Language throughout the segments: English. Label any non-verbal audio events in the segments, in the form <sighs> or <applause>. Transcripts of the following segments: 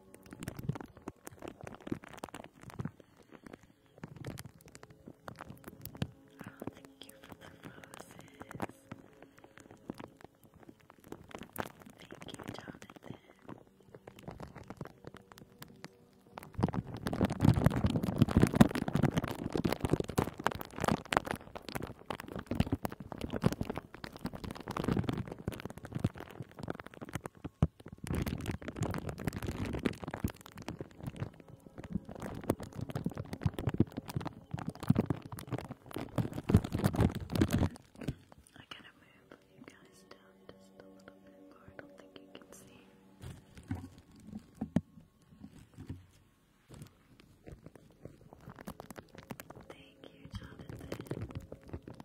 Oh, thank you for the roses. Thank you, Jonathan. I gotta move you guys down just a little bit more. I don't think you can see. Thank you, Jonathan.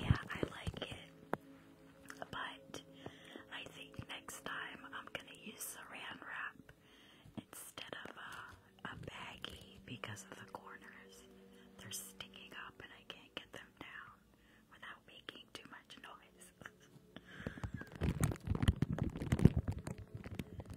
Yeah, I like it. But I think next time I'm gonna use saran wrap instead of a, a baggie because of the corners. They're sticking up and I can't get them down without making too much noise. <laughs>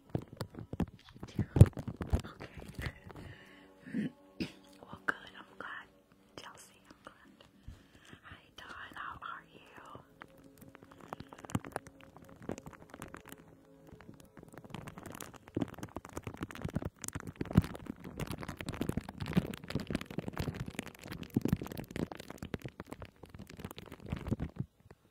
Okay. well, good. I'm glad. Chelsea, I'm glad. Hi, Dawn. How are you?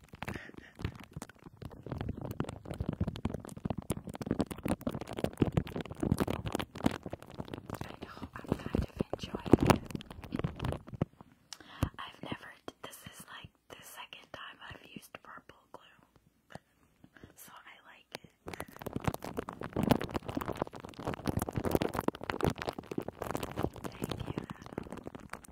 I have never, this is like the second time I've used purple glue. So I like it. Thank you,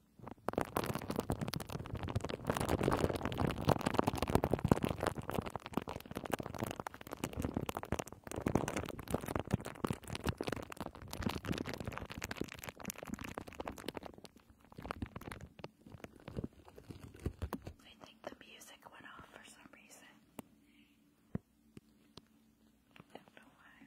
I think the music went off for some reason. I don't know why.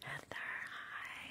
Heather, hi.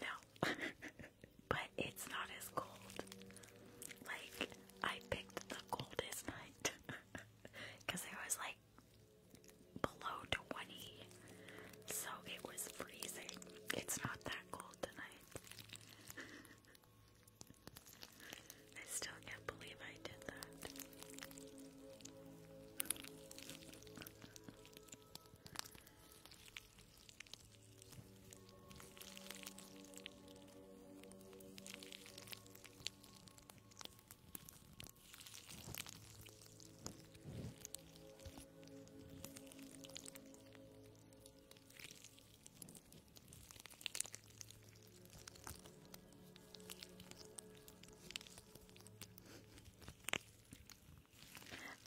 no, <laughs> but it's not as cold. Like, I picked the coldest night because <laughs> there was like below 20, so it was freezing. It's not that cold tonight. <laughs> I still can't believe I did that.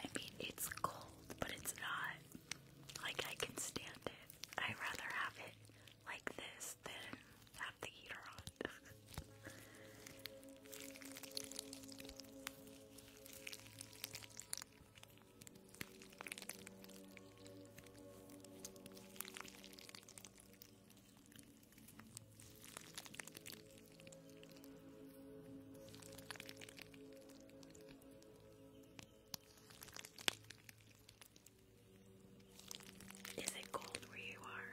I mean, it's cold, but it's not like I can stand it. I'd rather have it like this this, then have the heater on. Is it cold where you are?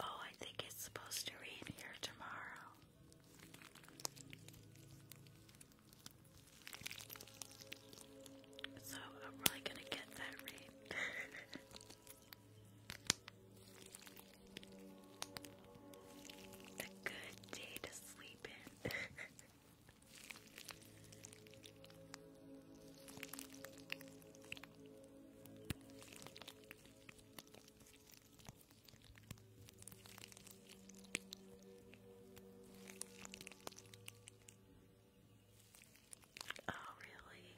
Oh, I think it's supposed to rain here tomorrow. So I'm really gonna get that read. <laughs> a good day to sleep in. <laughs> Oh really?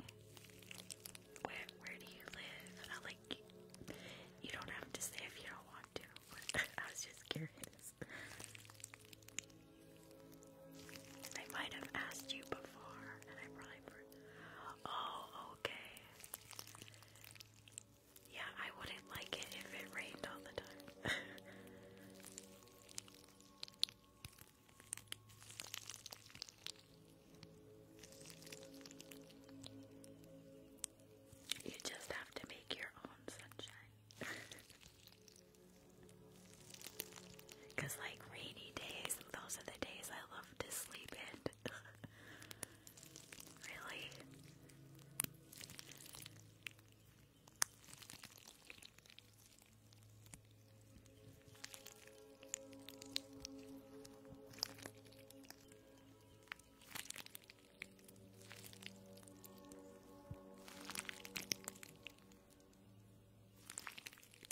Where where do you live? I like you don't have to say if you don't want to, <laughs> I was just curious. I might have asked you before and I probably Oh, okay. Yeah, I wouldn't like it if it rained all the time. <laughs> you just have to make your own sunshine. Because, <laughs> like, rainy days, those are the days I love to sleep in. <laughs> really?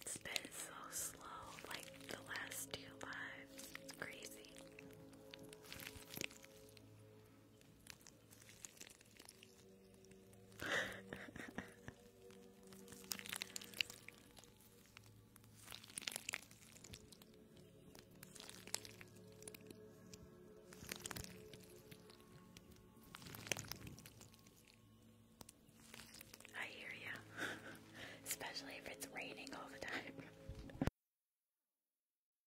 It's been so slow, like the last two lives. Crazy. <laughs> I hear you, <laughs> especially if it's raining all the time.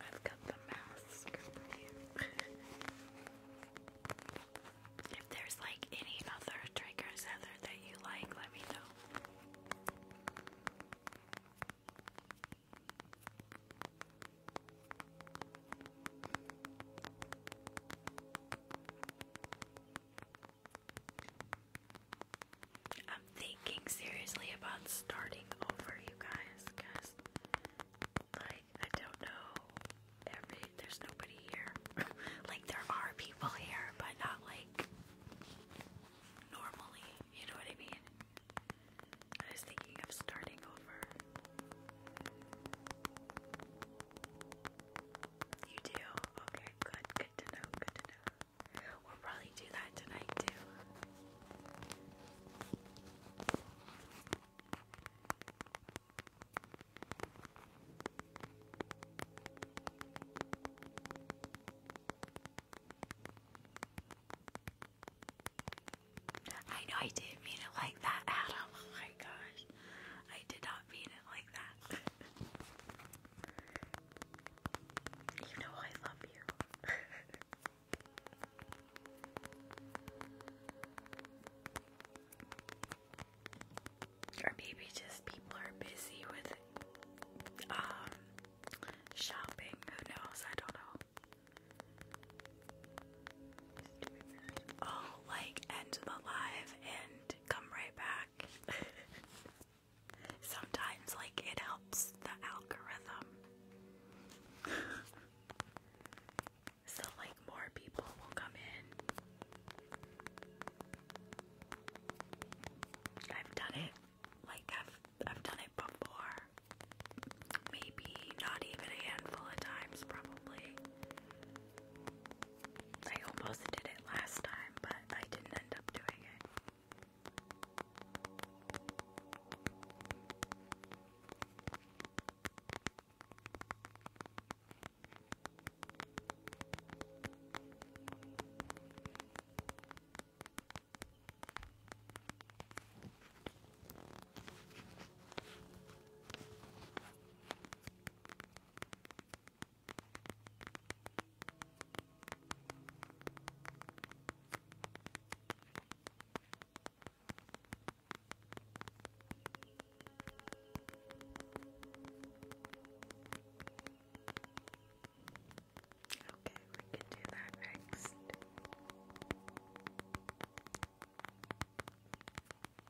I've got the mask for you. <laughs> if there's like any other triggers other that you like, let me know. I'm thinking seriously about starting over, you guys, because, like, I don't know. there's nobody here. <laughs> like, there are people here, but not like normally. You know what I mean? I was thinking of starting over. You do? Okay, good. Good to know. Good to know. We'll probably do that tonight, too. I know I didn't mean it like that, Adam. Oh my gosh. I did not mean it like that. <laughs> you know I love you. <laughs> or maybe just people are busy with um shopping. Who knows? I don't know. Oh, like end the live and come right back. <laughs> Sometimes, like, it helps the algorithm. <laughs> so, like, more people will come in. I've done it. Like, I've, I've done it before. Maybe not even a handful of times, probably. I almost did it last time, but I didn't end up doing it. Okay, we can do that next. Okay.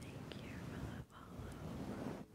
Thank you for the follow. Thank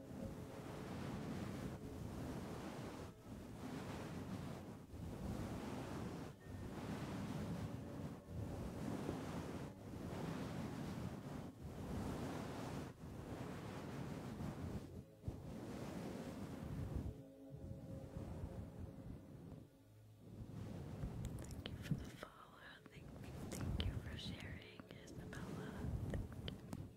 Thank you for the follow. Thank, thank you for sharing, Isabella. Thank you.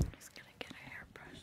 I'm just gonna get a hairbrush.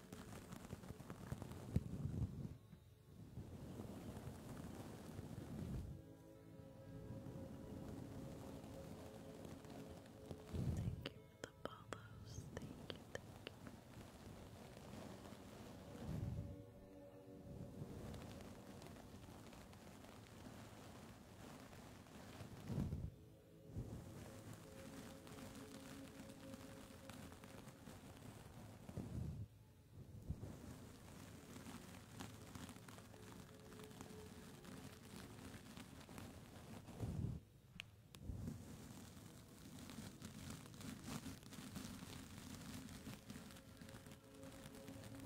Thank you for the follows. Thank you, thank you. Thank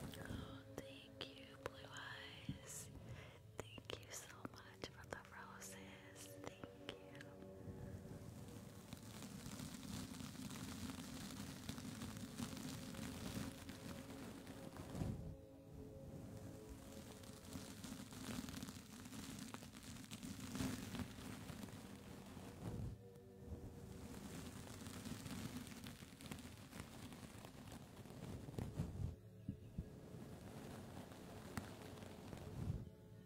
Oh, thank you, Blue Eyes. Thank you so much for the roses. Thank you.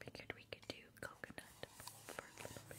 I figured we could do coconut for a little bit.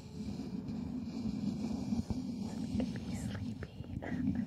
Sleepy, sleepy. Good.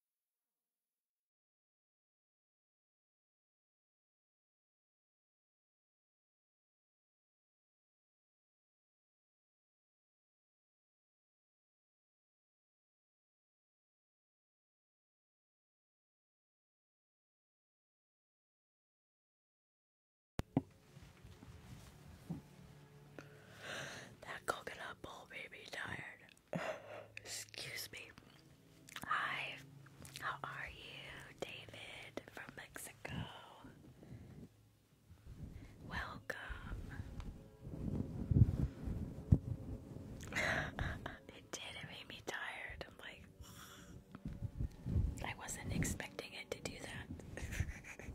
That coconut bowl made me tired. Excuse me. Hi. How are you, David from Mexico? Welcome. <laughs> it did, it made me tired. I'm like I wasn't expecting it to do that. <laughs>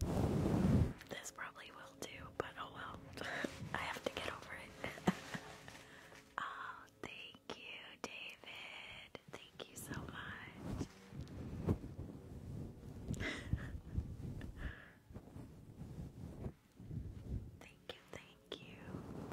This probably will too, but oh well. <laughs> I have to get over it. <laughs> oh, thank you, David. Thank you so much. <laughs> Thank you, thank you.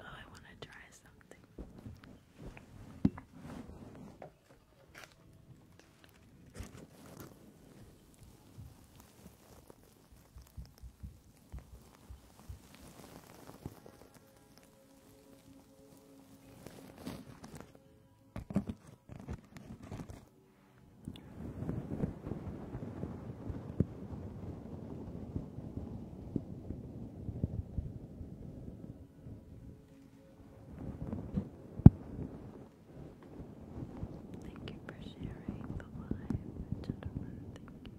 Oh, I want to try something. Thank you for sharing the live, gentlemen. Thank you. Thank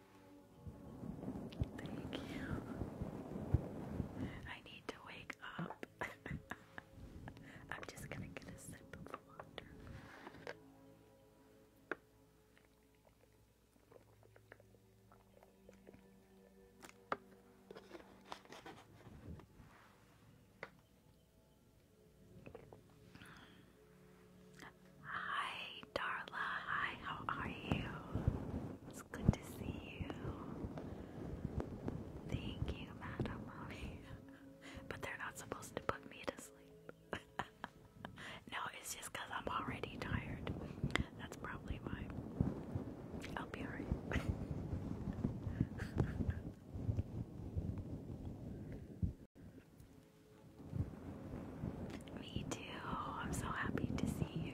Thank you. I need to wake up. <laughs> I'm just gonna get a sip of water. Hi, Darla. Hi, how are you? good to see you. Thank you, Madam <laughs> but they're not supposed to put me to sleep. <laughs> no, it's just I'm already tired. That's probably why. I'll be alright. <laughs> Me too. I'm so happy to see you.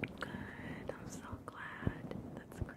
Good, I'm so glad. That's great.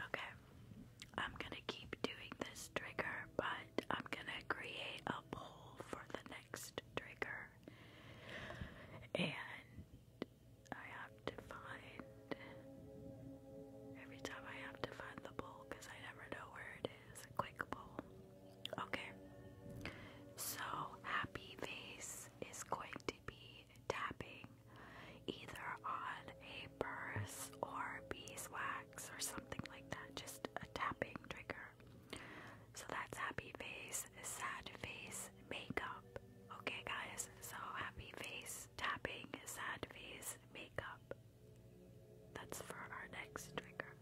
Okay, I'm gonna keep doing this trigger, but I'm gonna create a poll for the next trigger. And I have to find every time I have to find the bowl because I never know where it is. quick bowl. Okay. So happy face is going to be tapping either on a purse or beeswax or something like that. Just a tapping trigger. So that's happy face, sad face, makeup. Okay guys, so happy face tapping, sad face makeup. That's for our next trigger.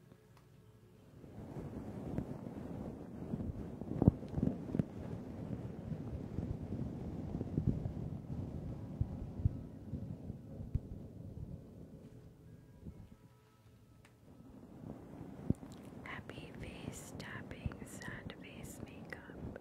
Happy face tapping, sad face makeup.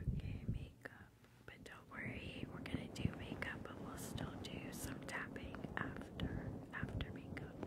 Okay, makeup. But don't worry, we're gonna do makeup, but we'll still do some tapping after after makeup.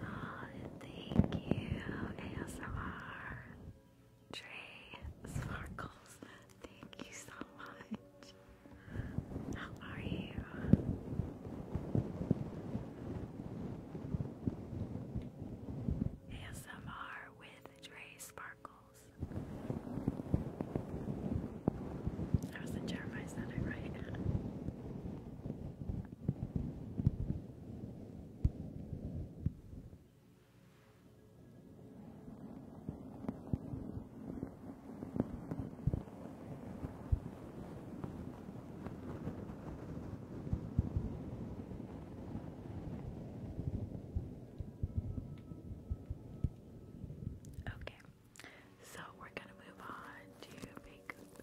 Oh, thank you, ASMR. Trey Sparkles, thank you so much. How are you? ASMR with Trey Sparkles. That was the Jeremiah Center, right? Okay. So we're gonna move on to makeup,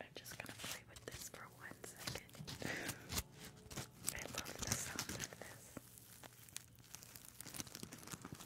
I'm just gonna play with this for one second. I love the sound of this.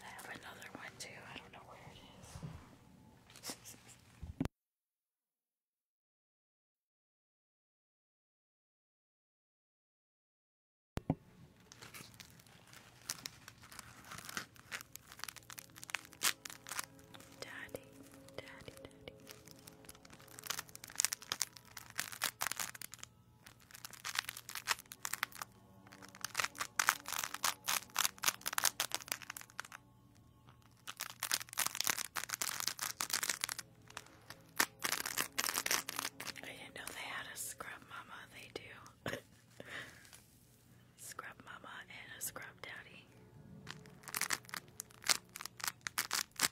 I have another one too. I don't know where it is. Daddy, daddy, daddy. I didn't know they had a scrub mama, they do. <laughs> scrub mama and a scrub daddy.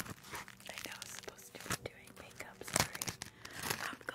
I know I was supposed to be doing makeup, sorry. I'm going.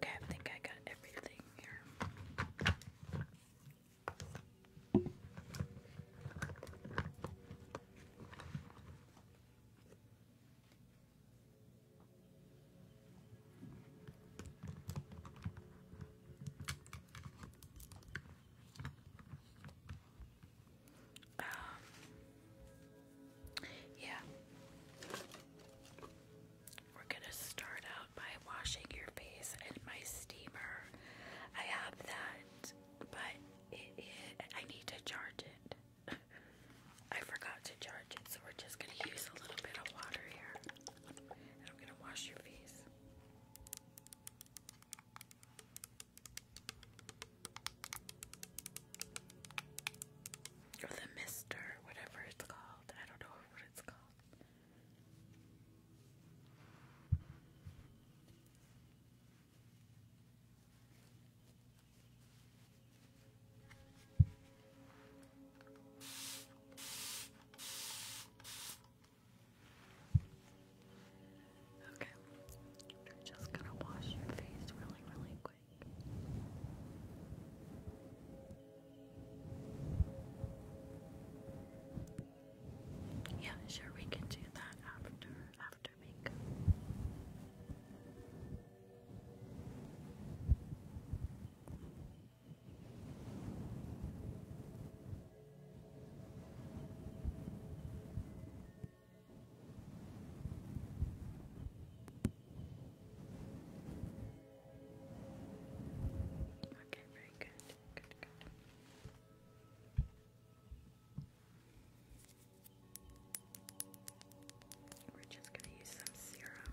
Okay, I think I got everything here. Um, yeah. We're gonna start out by washing your face in my steamer. I have that, but it, I need to charge it. <laughs> I forgot to charge it, so we're just gonna use a little bit of water here. And I'm gonna wash your face. Or the mister, whatever it's called. I don't know what it's called. Okay, I'm just gonna wash your face really, really quick. Yeah, sure, we can do that after after makeup. Okay. Okay, very good. Good, good. We're just going to use some serum.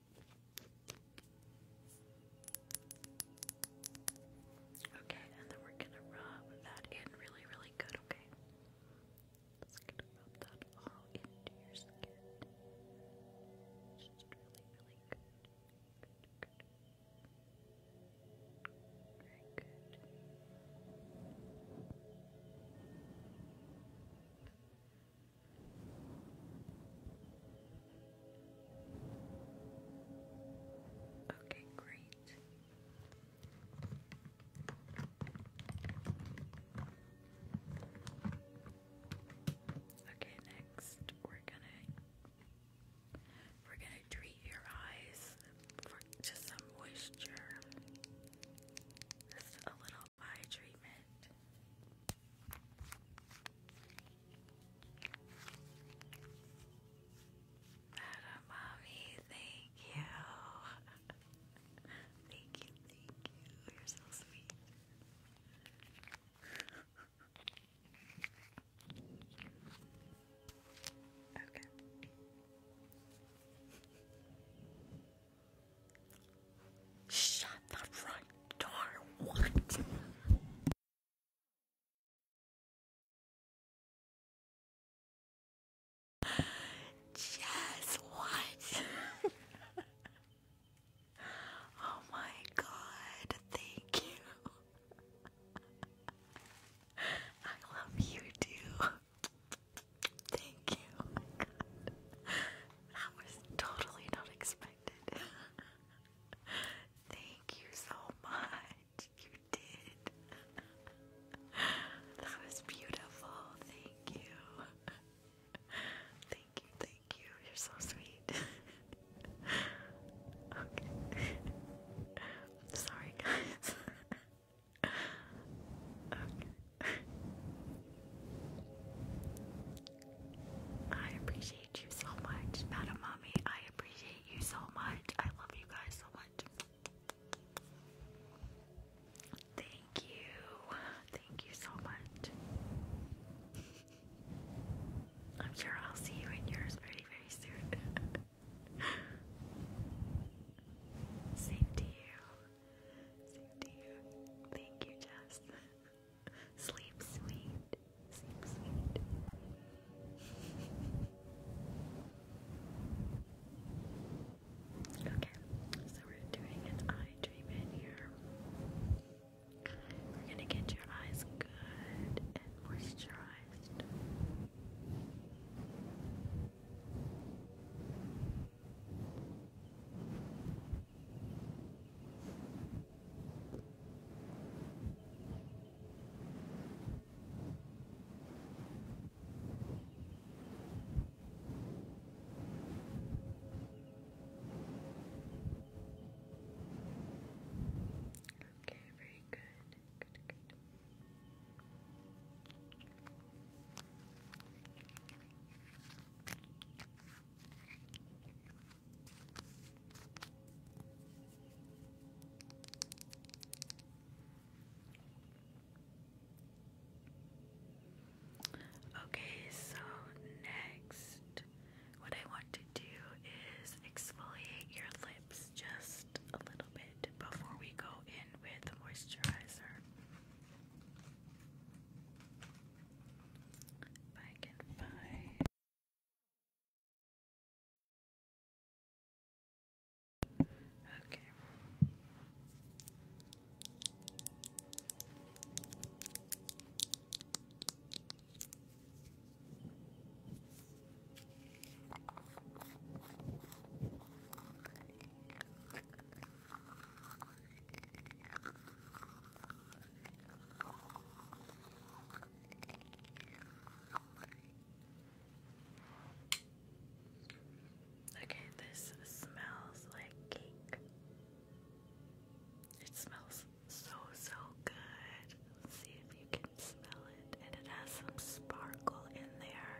Okay, and then we're gonna rub that in really, really good, okay? Just gonna rub that all into your skin. Just really, really good. Very good. Okay, great. Okay, next we're gonna we're gonna treat your eyes for to some moisture. Just a little eye treatment. Madam Mommy, thank you. <laughs> thank you, thank you. You're so sweet. <laughs> okay. Shut the front door. What? Jess, what? <laughs> oh my god, thank you. I love you too. Thank you. Oh my god. That was totally not expected. <laughs> Thank you so much. You did. <laughs> that was beautiful. Thank you. <laughs> thank you, thank you. You're so sweet. okay. Sorry, guys. okay. I appreciate you so much, Madam Mommy. I appreciate you so much. I love you guys so much. Thank you. Thank you so much. I'm sure I'll see you in yours very, very soon. <laughs> Same to you. Same Thank you, Jess. <laughs> Sleep sweet. Sleep sweet. Okay, so we're doing an eye treatment here. We're gonna get your eyes good and moisturized. Okay, very good. Good, good. Okay. Okay, so next, what I want to do is exfoliate your lips just a little bit before we go in with the moisturizer. If I can find Okay. Okay, this smells like cake. It smells so, so good. see if you can smell it. And it has some sparkle in there.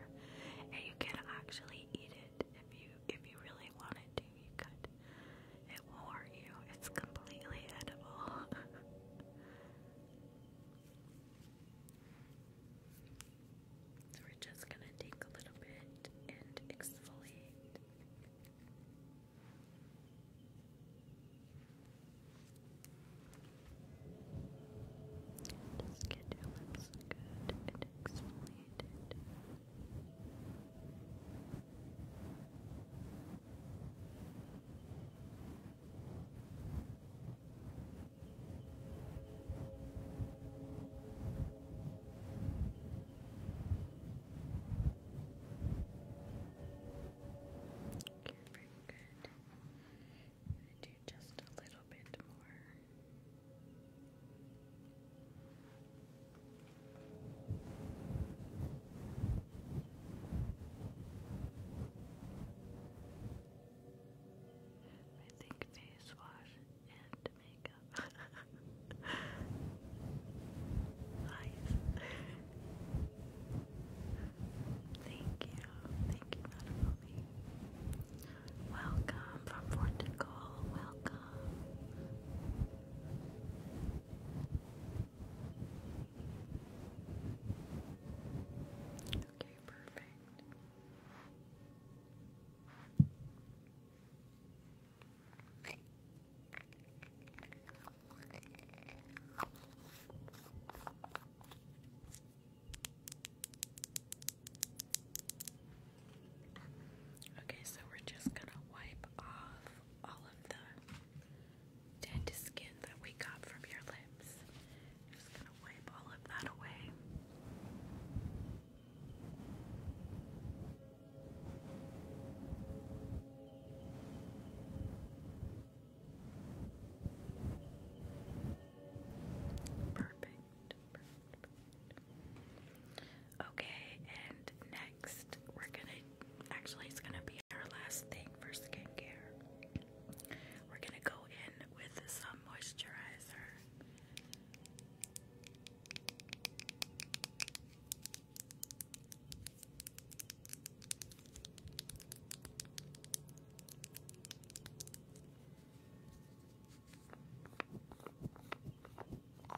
And you can actually eat it if you if you really wanted to, you could. It will hurt you. It's completely edible. so we're just going to take a little bit and exfoliate. Just get your lips good and exfoliated. Okay, very good. I'm going to do just a little bit more. Okay. I think face wash and makeup. <laughs> nice. Thank you. Thank you, Welcome from Portugal. Welcome. Okay, perfect. Okay, Okay, so we're just gonna wipe off all of the dead skin that we got from your lips. just gonna wipe all of that away. Perfect. Okay, and next we're gonna actually it's gonna be our last thing for skincare. We're gonna go in with some moisturizer. Okay, so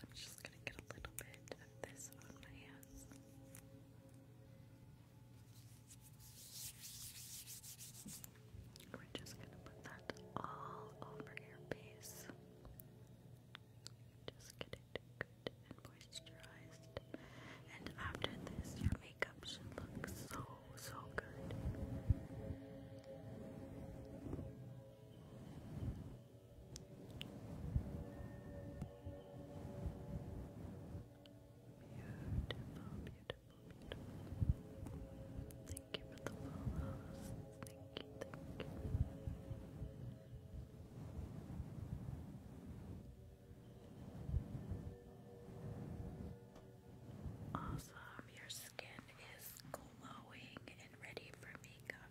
I'm just gonna get a little bit of this on my hands. Okay. We're just gonna put that all over your face. Just get it good and moisturized. And after this, your makeup should look so, so good. Beautiful, beautiful. Thank you for the follows. Thank you, thank you. Awesome, your skin is glowing and ready for makeup.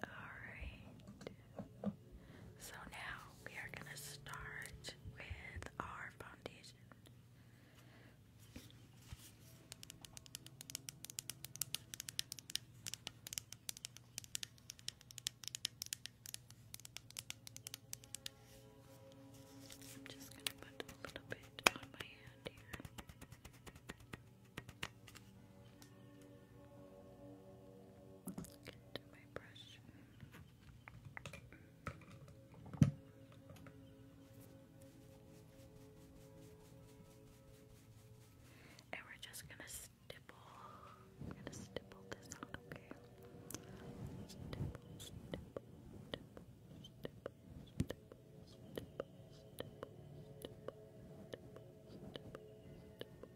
Alright. So now we are going to start with our foundation. I'm just going to put a little bit on my hand here. Get my And we're just gonna stipple. gonna stipple this out, okay?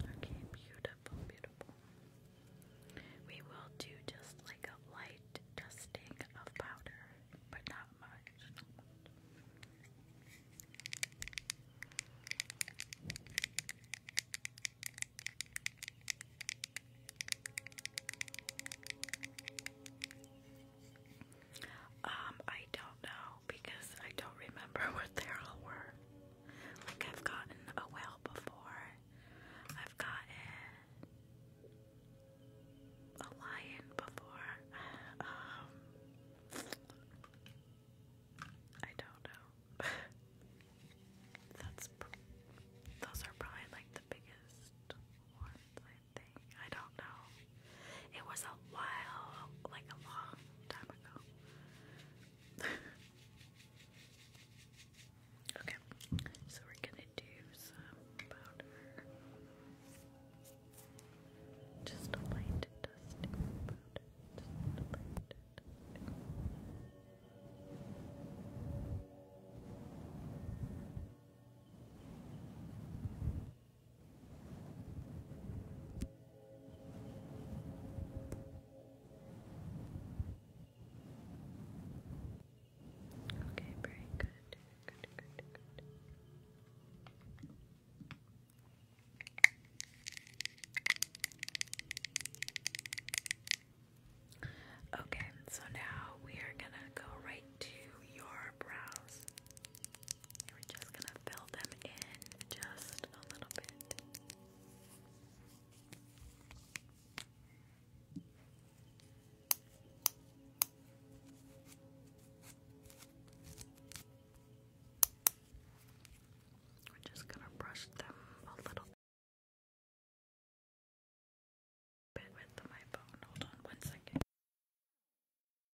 Okay, beautiful, beautiful. We will do just like a light dusting of powder, but not much. Not much. Um, I don't know because I don't remember <laughs> what they all were. Like, I've gotten a whale before, I've gotten a lion before. <sighs> Um, I don't know. <laughs> That's those are probably like the biggest ones I don't know. It was a while, like a long time ago. <laughs> okay, so we're gonna do some powder. Just a light dusting powder. Just a light Okay, very good. Good, good, good. Okay, so now we are gonna go right to your brows. We're just gonna fill them in just a little bit. We're just going to brush them a little bit with my bone. Hold on one second.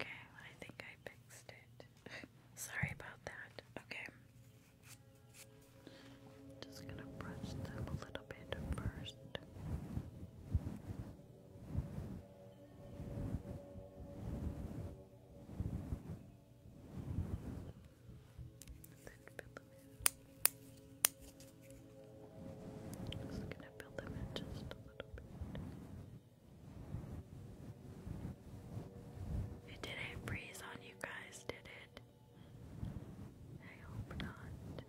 Okay, I think I fixed it. <laughs> Sorry about that. Okay. Just gonna brush them a little bit first. Just gonna fill them in just a little bit. It didn't freeze on you guys, did it? I hope not.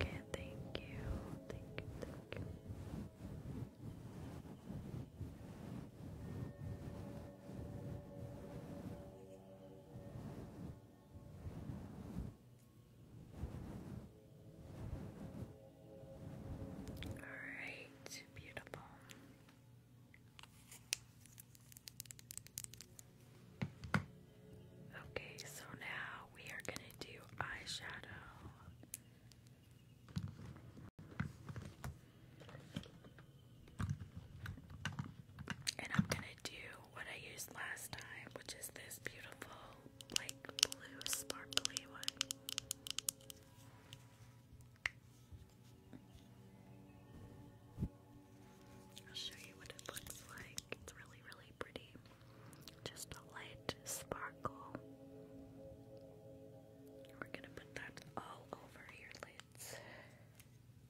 Okay, thank you. Thank you, thank you. Alright, beautiful. Okay, so now we are going to do eyeshadow. And I'm gonna do what I used last time, which is this beautiful, like, blue sparkly one. I'll show you what it looks like. It's really, really pretty. Just a light sparkle. We're gonna put that all over your lids.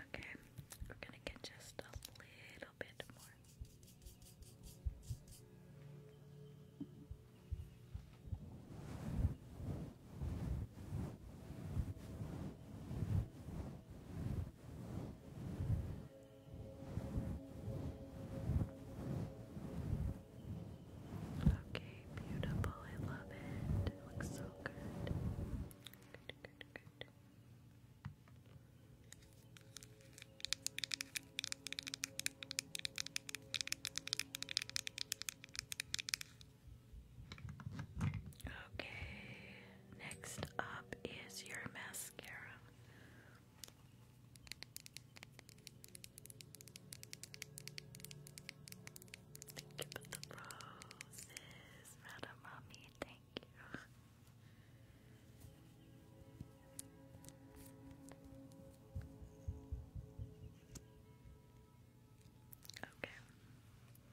Okay, we're gonna get just a little bit more. Okay, beautiful. I love it. looks so good. Good, good, good. Okay, next up is your mascara. Thank you for the roses, Madam Mommy. Thank you. Okay.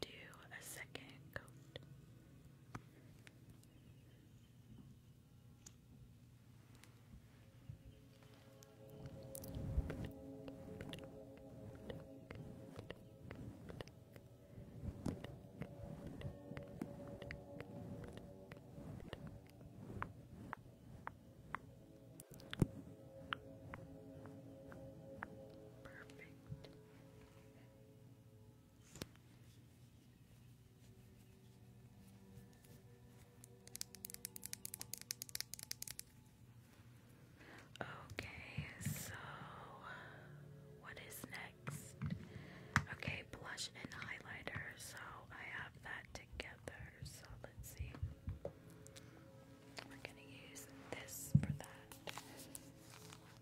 do a second coat. Perfect. Okay, so what is next? Okay, blush and highlighter. So I have that together. So let's see. We're going to use this for that.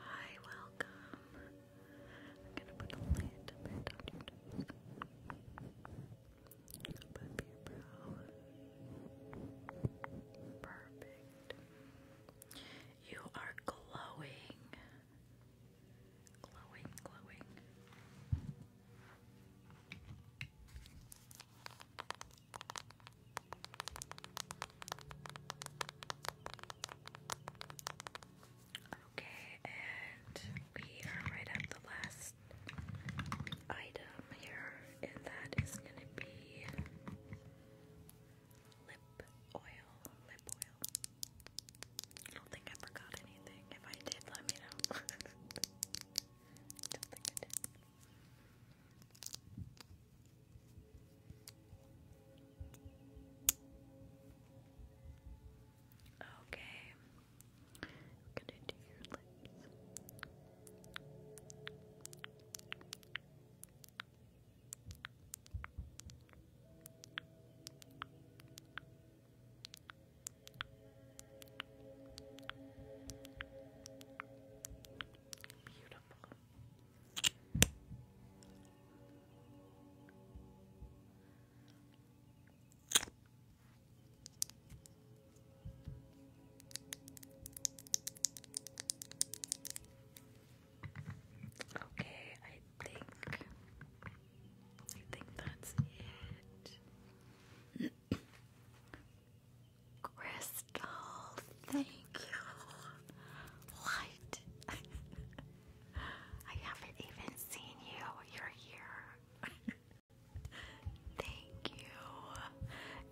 Hi, welcome. I'm gonna put a little on your you are glowing. Glowing, glowing. Okay, and we are right at the last item here, and that is going to be lip oil. Lip oil. I don't think I forgot anything. If I did, let me know. <laughs> Okay, I'm gonna do your lips. Beautiful. Okay, I think I think that's it. <clears throat> Crystal, thank you. Light. <laughs> I haven't even seen you. You're here. <laughs> Thank you.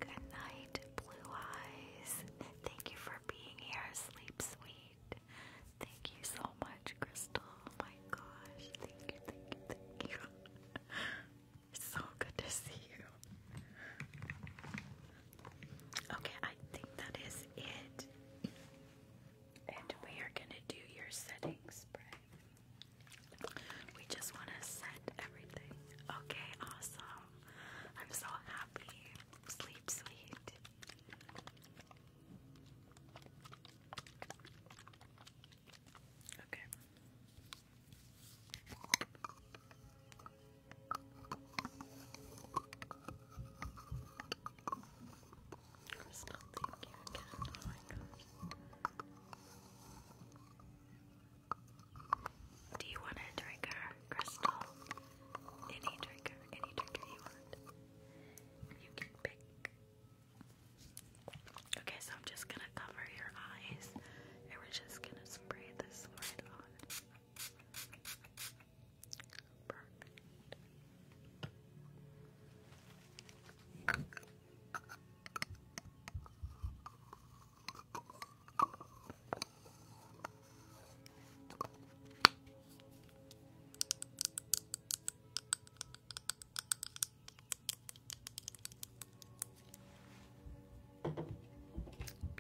Good night, Blue Eyes. Thank you for being here. Sleep sweet. Thank you so much, Crystal. Oh my gosh. Thank you, thank you, thank you. <laughs> so good to see you. Okay, I think that is it. And we are going to do your setting spray. We just want to send everything. Okay, awesome. I'm so happy. Sleep, sweet. Okay. Do you want a trigger, Crystal? Any trigger, any trigger you want. You can pick. Okay, so I'm just gonna cover your eyes and we're just gonna spray this right on. Perfect.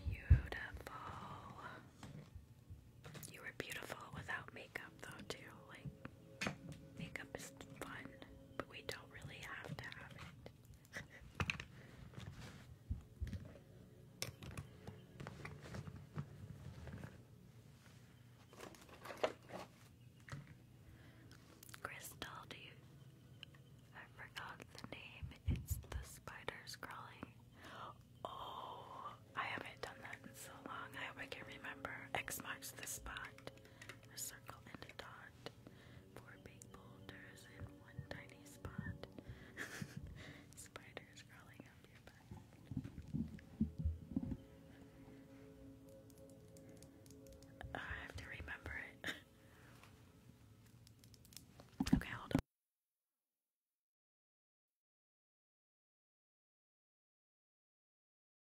Beautiful. You were beautiful without makeup, though, too. Like, makeup is fun, but we don't really have to have it. Crystal, do I forgot the name. It's the spiders crawling. Oh, I haven't done that in so long. I hope I can remember. X marks the spot. A circle and a dot spot, four big boulders, and one tiny spot. <laughs> Spiders crawling up your butt. Oh, I have to remember it. <laughs> okay, hold on.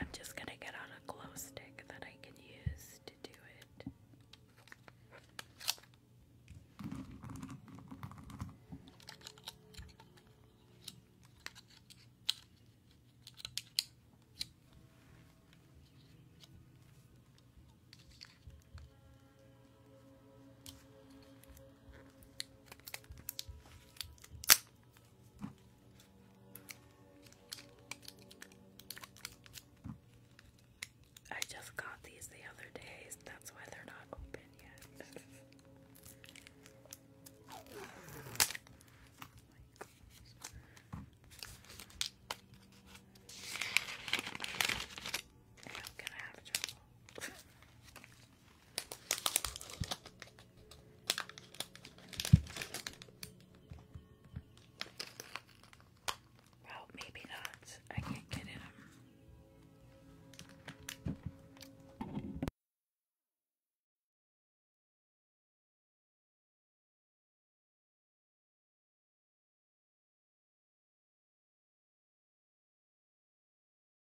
I'm just going to get out a glow stick that I can use to do it. I just got these the other day, that's why they're not open yet. Oh well, maybe not. I can't get him.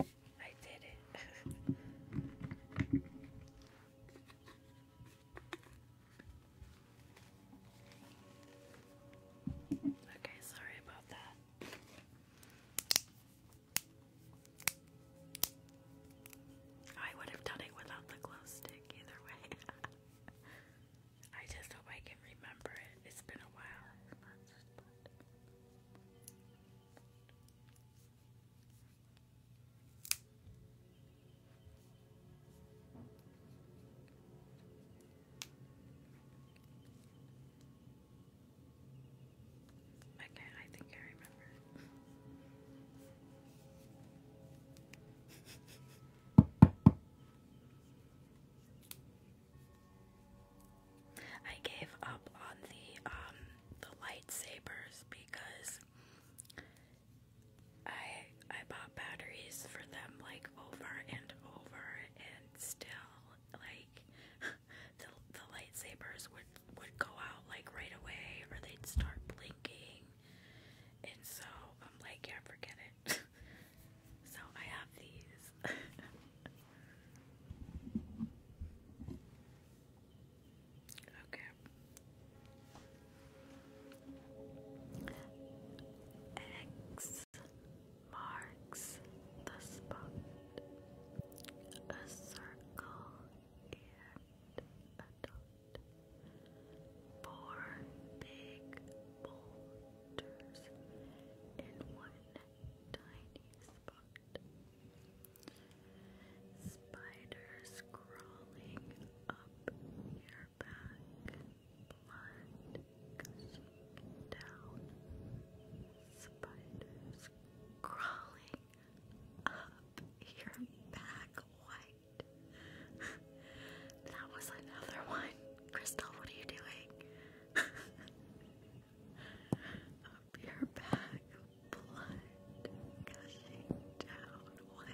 I did it. <laughs> okay, sorry about that. I would have done it without the glow stick either way. <laughs> I just hope I can remember it. It's been a while. Okay, I think I remember. <laughs> I gave up on the um the lightsabers because I I bought batteries for them like over and over and still like <laughs> the the lightsabers would would go out like right away or they'd start blinking and so I'm like yeah forget it <laughs> so I have these <laughs> Okay. X marks the spot. A circle and a dot. Four big boulders in one tiny spot. Spiders crawling up your back, blood down. Spiders crawling up your back, white. <laughs> that was another one. Crystal, what are you doing? <laughs> Oh, your back, blood gushing down. What?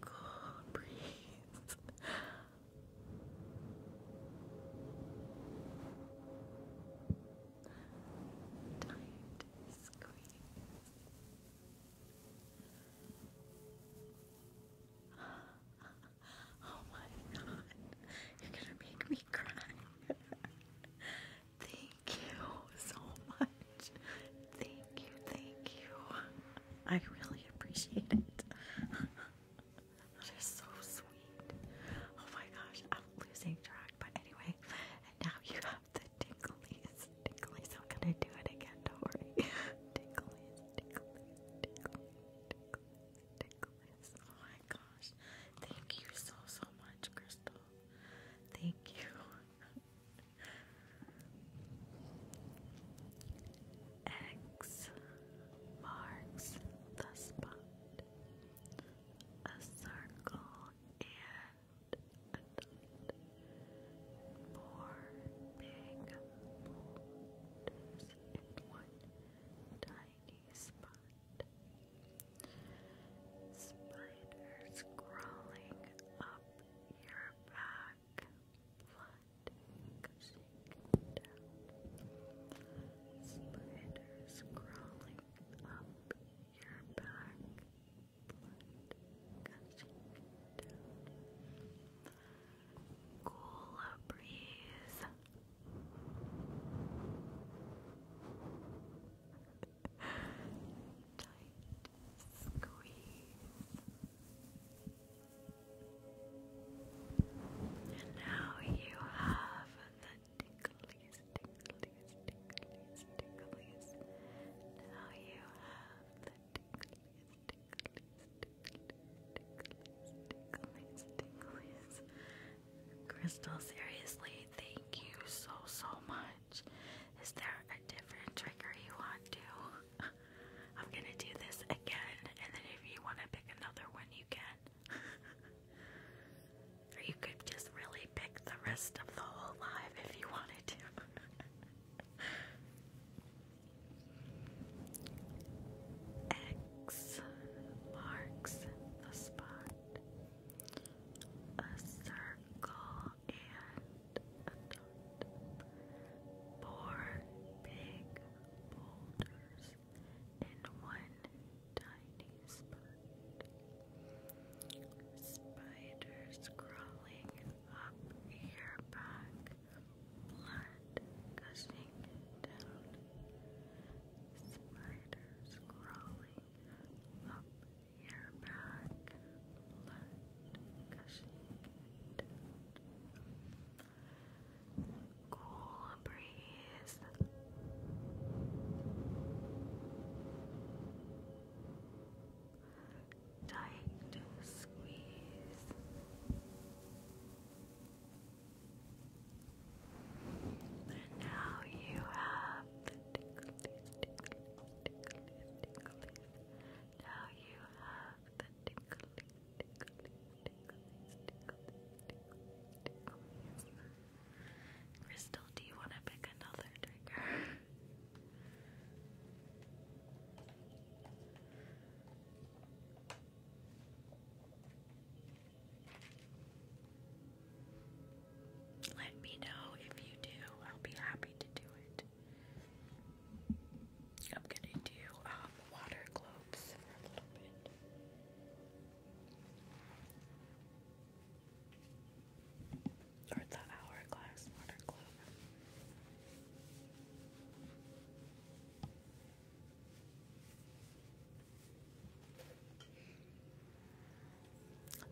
Cool breeze. Tight squeeze. <laughs> oh my god, you're gonna make me cry. <laughs> Thank you so much. Thank you, thank you. I really appreciate it. that is so sweet. Oh my gosh, I'm losing track. But anyway, and now you have the ticklies. Ticklies, i gonna do it again, don't worry. ticklies, ticklies, ticklies, ticklies, ticklies. Oh my gosh. Thank you so, so much, Crystal. Thank you. X marks the spot. A circle and Four big boulders one tiny tiny Spiders crawling up your back, blood gushing down. Spiders crawling up your back, blood gushing down. Cool breeze. Tight squeeze. And now you have the ticklies, ticklies, ticklies, ticklies. Now you have the ticklies, ticklies, ticklies, ticklies, ticklies, ticklies. Crystal, seriously, thank you so, so much. Is there a different trigger you want to? <laughs> I'm gonna do this again, and then if you want to pick another one, you can. <laughs> or you could just really pick the rest of the whole live if you wanted to. <laughs> X marks the spot a circle, and a dot. Four big boulders in one tiny spot. Spiders crawling up your back, blood gushing down. Spiders crawling up your back, blood gushing Cool breeze. Tight squeeze. And now you have the ticklies, ticklies, ticklies, ticklies. Now you have the ticklies, ticklies, ticklies, ticklies, ticklies, ticklies. Crystal, do you want to pick another trigger? Let me know if you do. I'll be happy to do it. I'm gonna do um, water globes for a little bit. Or the hourglass water globe.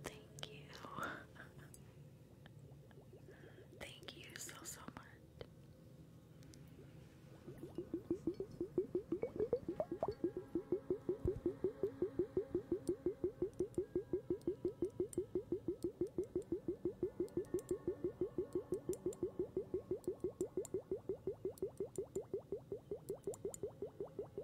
Thank you. <laughs> Thank you so, so much.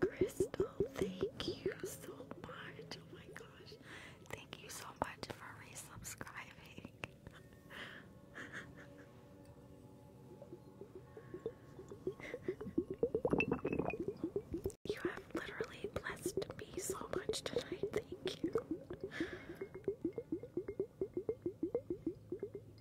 Crystal, thank you so much. Oh my gosh. Thank you so much for resubscribing. you have literally blessed me so much tonight. Thank you.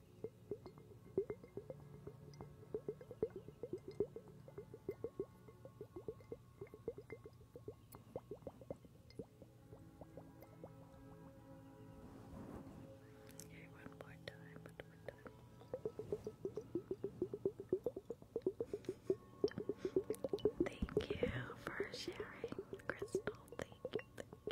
Okay, one more time, one more time. Thank you for sharing, Crystal. Thank you, thank you.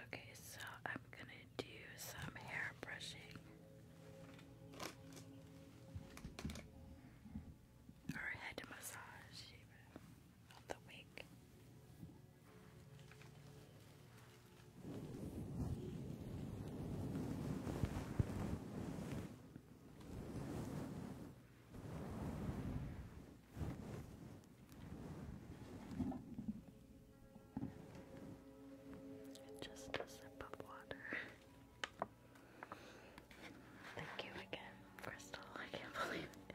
Okay, so I'm gonna do some hair brushing or head massage even the wig. Just a sip of water. Thank you again, Crystal. I can't believe it.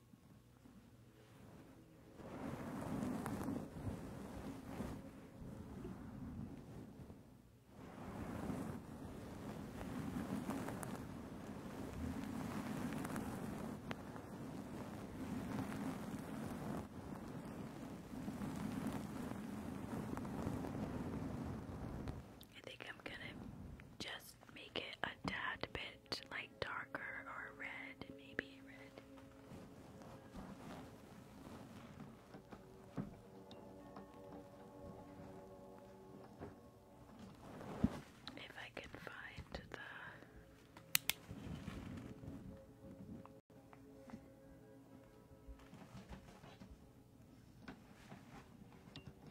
I think I'm going just make it a tad bit like darker or red, maybe red. If I can find the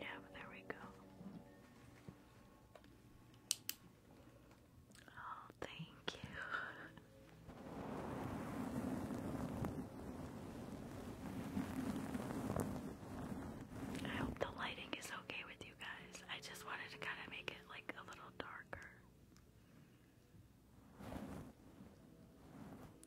Yeah, but there we go. Oh, thank you. I hope the lighting is okay with you guys. I just wanted to kind of make it like a little darker.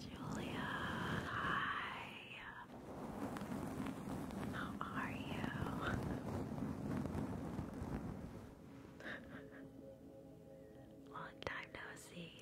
Julia, hi. How are you? <laughs> Long time no see.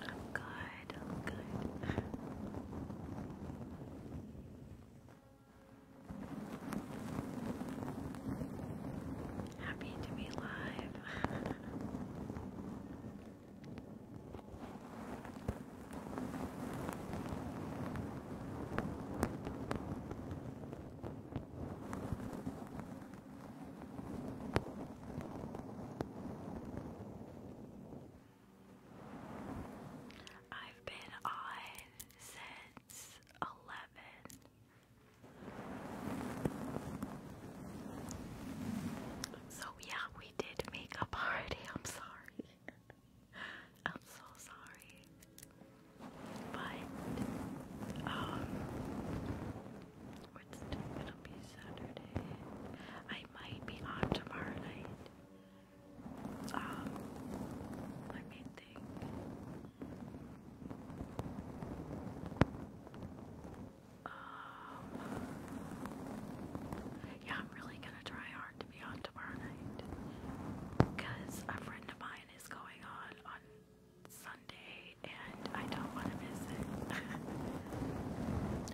I'm good, I'm good. Happy to be live. <laughs> I've been on since 11. So, yeah, we did make a party. <laughs> I'm sorry. I'm so sorry. But um it's still be Saturday. I might be on tomorrow night. Um let me think. Um yeah, I'm really gonna try hard to be on tomorrow night. Cause a friend of mine is going on on Sunday, and I don't want to miss it. <laughs>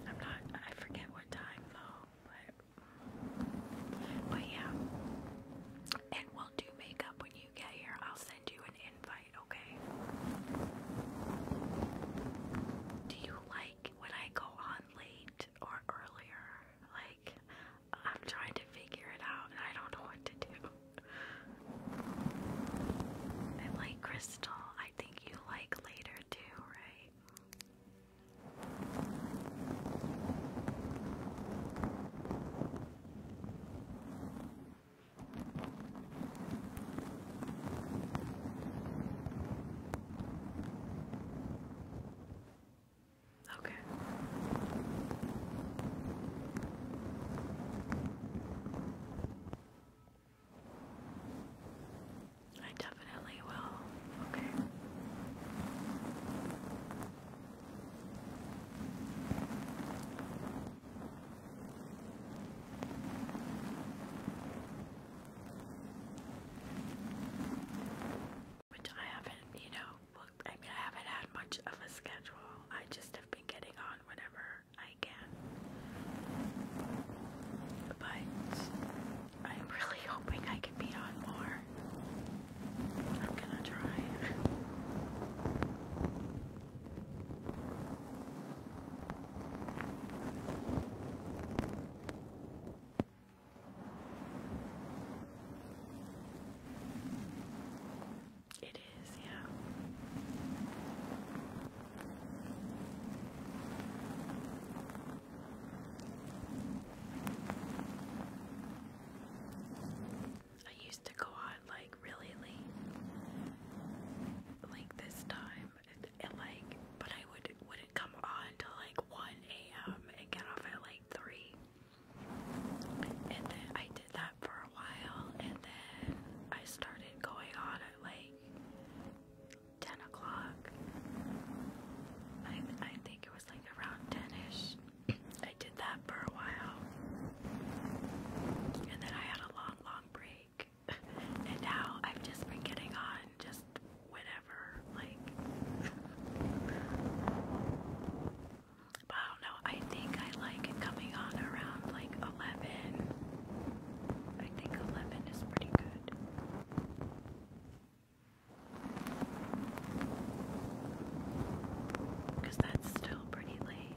I'm not, I forget what time though, but, but yeah. And we'll do makeup when you get here. I'll send you an invite, okay? Do you like when I go on late or earlier? Like, I'm trying to figure it out and I don't know what to do. And like Crystal, I think you like later too, right? Okay. I definitely will. Okay. Which I haven't, you know, booked. I haven't had much of a schedule. I just have been getting on whenever I can. But I'm really <laughs> hoping I can be on more. I'm gonna try. It is, yeah. I used to go on like really late, like this time, and like, but I would wouldn't come on till like one a.m. and get off at like three. And then I did that for a while, and then I started going on at like 10 o'clock. I, I think it was like around 10 I did that for a while, and then I had a long, long break. <laughs> and now I've just been getting on just whenever, like. I don't know, I think I like it coming on around like 11. I think 11 is pretty good. Because that's still pretty late.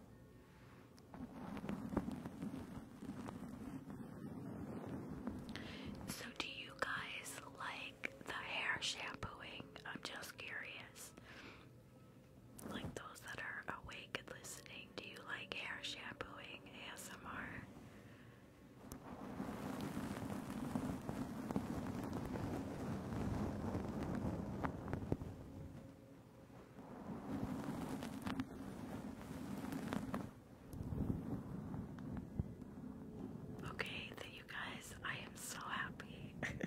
So, do you guys like the hair shampooing? I'm just curious. Like those that are awake and listening, do you like hair shampooing ASMR? Okay, then you guys, I am so happy <laughs>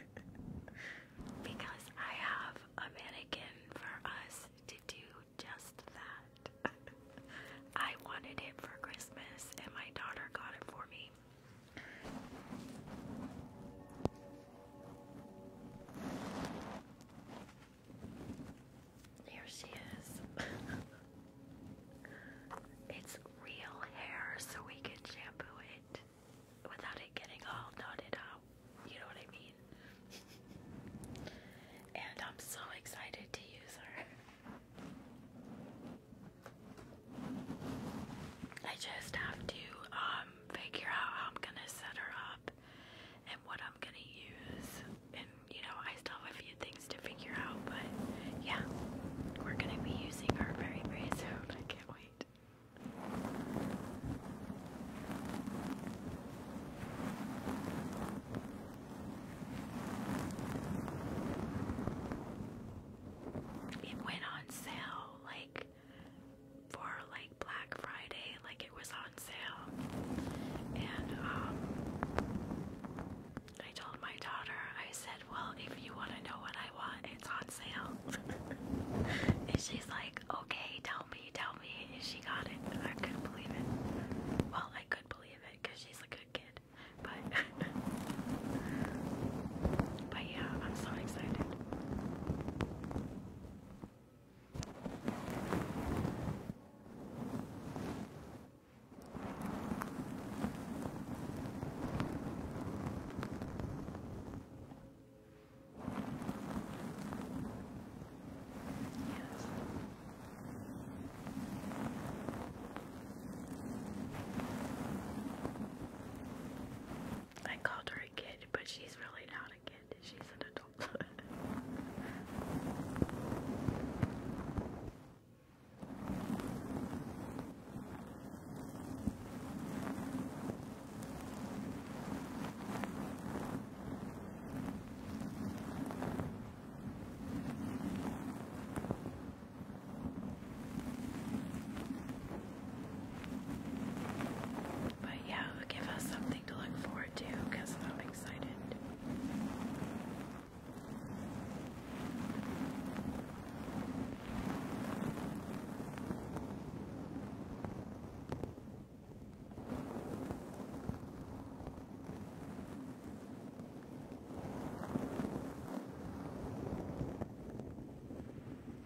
because I have a mannequin for us to do just that. <laughs> I wanted it for Christmas and my daughter got it for me. There she is. <laughs> it's real hair, so we can shampoo it without it getting all knotted up. You know what I mean? <laughs> and I'm so excited to use her. <laughs> I just have to uh, um, figure out how I'm gonna set her up and what I'm gonna use. And you know, I still have a few things to figure out, but yeah, we're gonna be using our very, very soon. I can't wait. It went on sale like for like Black Friday, like it was on sale. And um I told my daughter, I said, Well, if you want to know what I want, it's on sale. <laughs> and she's like, Okay, tell me, tell me. And she got it. I couldn't believe it. Well, I could believe it because she's a good kid. But, <laughs> but yeah, I'm so excited. I called her again but she's really not a kid. She's an adult. <laughs> But yeah, it'll give us something to look forward to because I'm excited.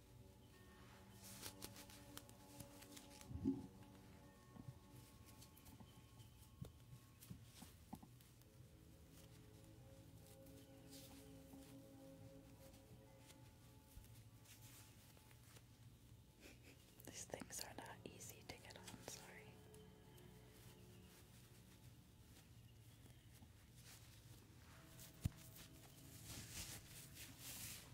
<laughs> These things are not easy to get on, sorry.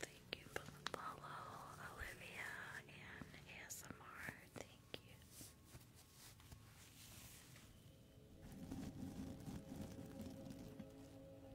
Thank you, Polo, Olivia, and ASMR. Thank you.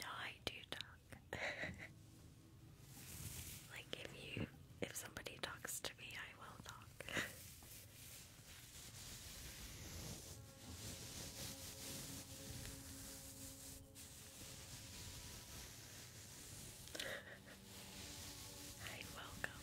No, I do talk. <laughs> like if you if somebody talks to me, I will talk. <laughs> Hi, welcome.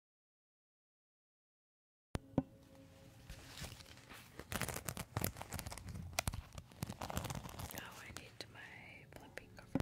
Oh, I need my flipping cover.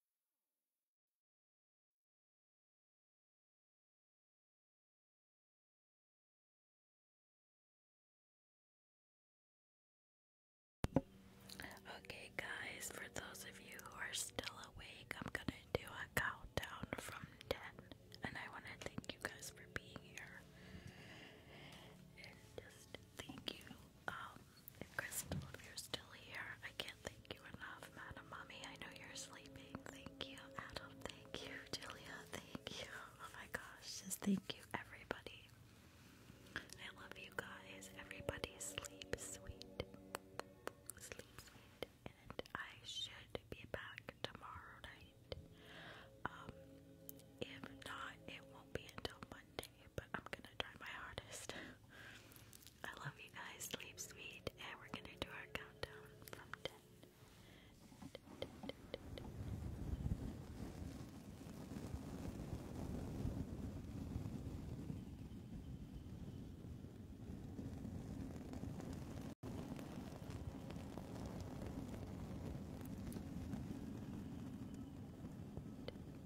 Okay, guys, for those of you who are still awake, I'm gonna do a countdown from 10. And I wanna thank you guys for being here. just thank you um, Crystal, if you're still here, I can't thank you enough, Madam Mommy. I know you're sleeping. Thank you, Adam. Thank you, Julia. Thank you. Oh my gosh, just thank you, everybody. I love you guys. Everybody sleep sweet. Sleep sweet. And I should be back tomorrow night. Um, if not, it won't be until Monday but I'm gonna try my hardest. I love you guys, sleep sweet, and we're gonna do our countdown from Ten,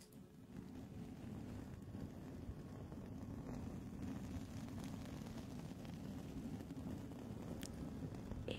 Eight. Nine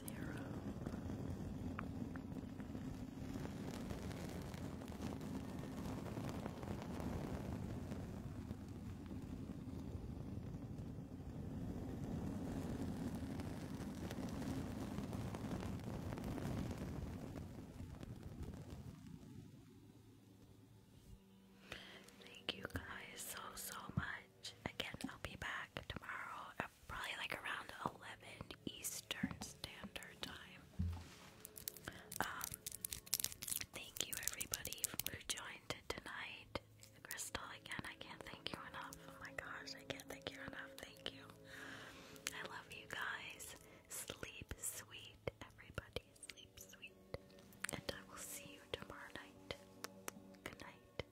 Thank you guys so so much. Again, I'll be back tomorrow probably like around 11 Eastern Standard Time. Um, thank you everybody who joined tonight. Crystal, again, I can't thank you enough. Oh my gosh, I can't thank you enough. Thank you. I love you guys. Sleep sweet, everybody. Sleep sweet. And I will see you tomorrow night. Good night.